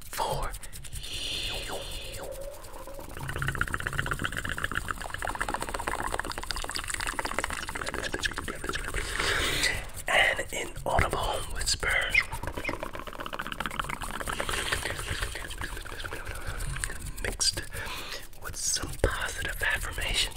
for you. And in audible whispers, mixed with some positive affirmations.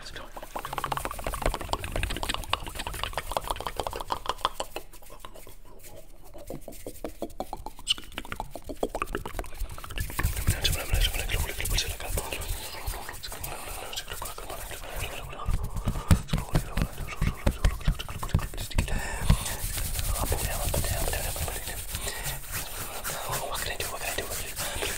Let's go. What can I do? What can I do? What can I do?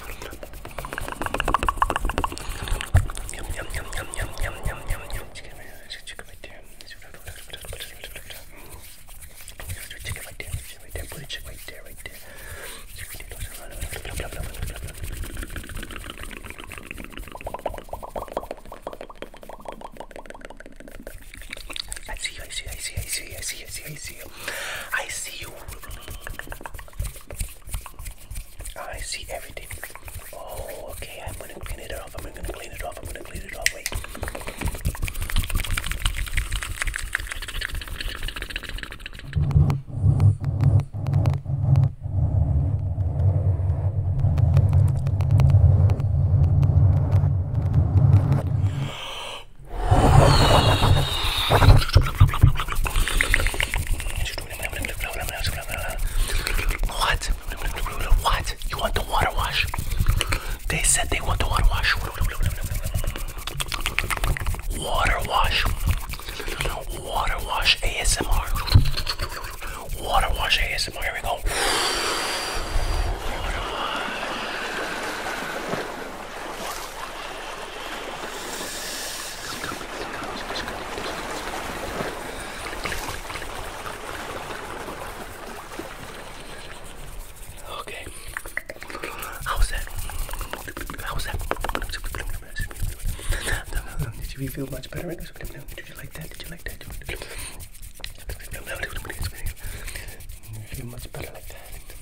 Yum yum yum yum yum yum yum yum yum chicken right chicken right there. Chicken right there, chicken right there, put a chicken right there, right there. Chicken right there. I see you, I see you, I see you, I see you, I see you, I see you, I see you. I see you. I see everything. Oh, okay. I'm gonna clean it off. I'm gonna clean it off. I'm gonna clean it off. Wait. What? What? You want the water wash? They said they want the water wash. Water wash. Water wash ASMR. Water wash ASMR. Here we go. Okay. How's that? How's that? Did you feel much better? Did you like that? Did you like that? Did you feel much better like that?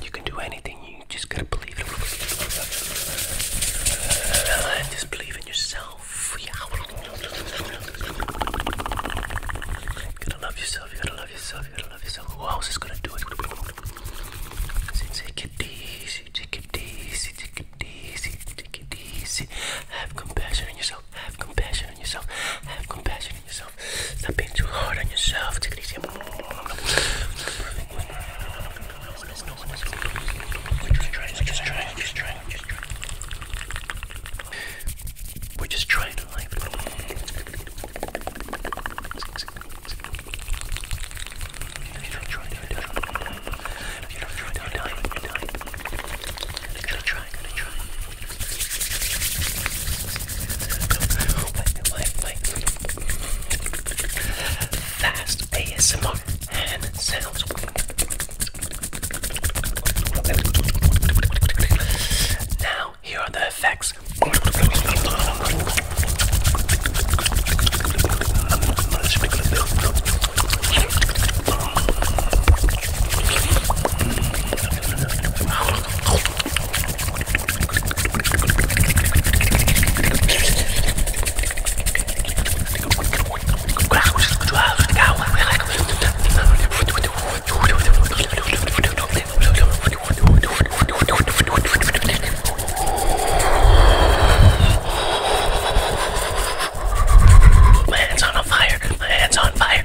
You can do anything, you just gotta believe in it. Just believe in yourself. You gotta love yourself, you gotta love yourself, you gotta love yourself. Who else is gonna do it? Take it easy, take it easy, take it easy, take it easy. Have compassion on yourself, have compassion on yourself, have compassion on yourself. Stop being too hard on yourself, take it easy just trying, I'm just trying, I'm just trying. We're just trying to life. If you don't try, if you don't try, if you don't try, don't die, you die. Gotta try, gotta try. Wait, wait, wait. Fast ASMR hand sounds. Now, here are the effects. My hands on fire. My hands on fire.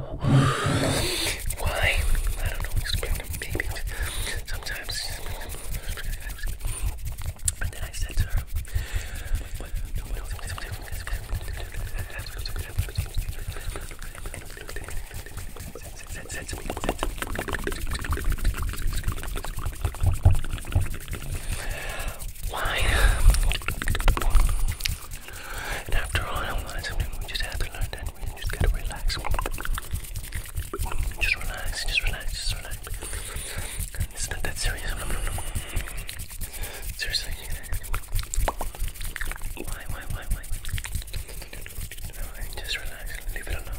Why? I don't know. Sometimes. Oh, and then I said to her, why? after all, I We just had to learn that we just gotta relax. Just relax, just relax, just relax. It's not that serious. Seriously. Why, why, why, why? Just relax. Leave it alone.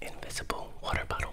invisible water bottle.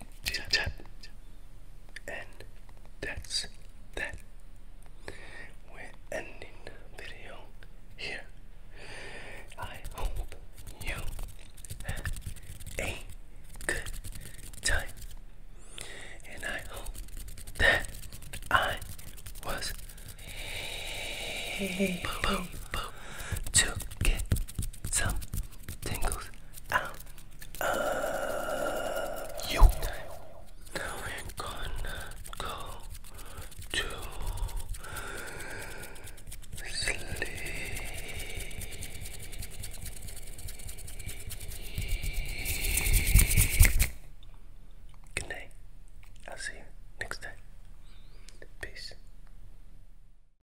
And that's that. We're ending the video here. I hope you had a good time. And I hope that I was able to get some tingles out uh, you. we're gonna go to sleep. Good I'll see you next time. Peace.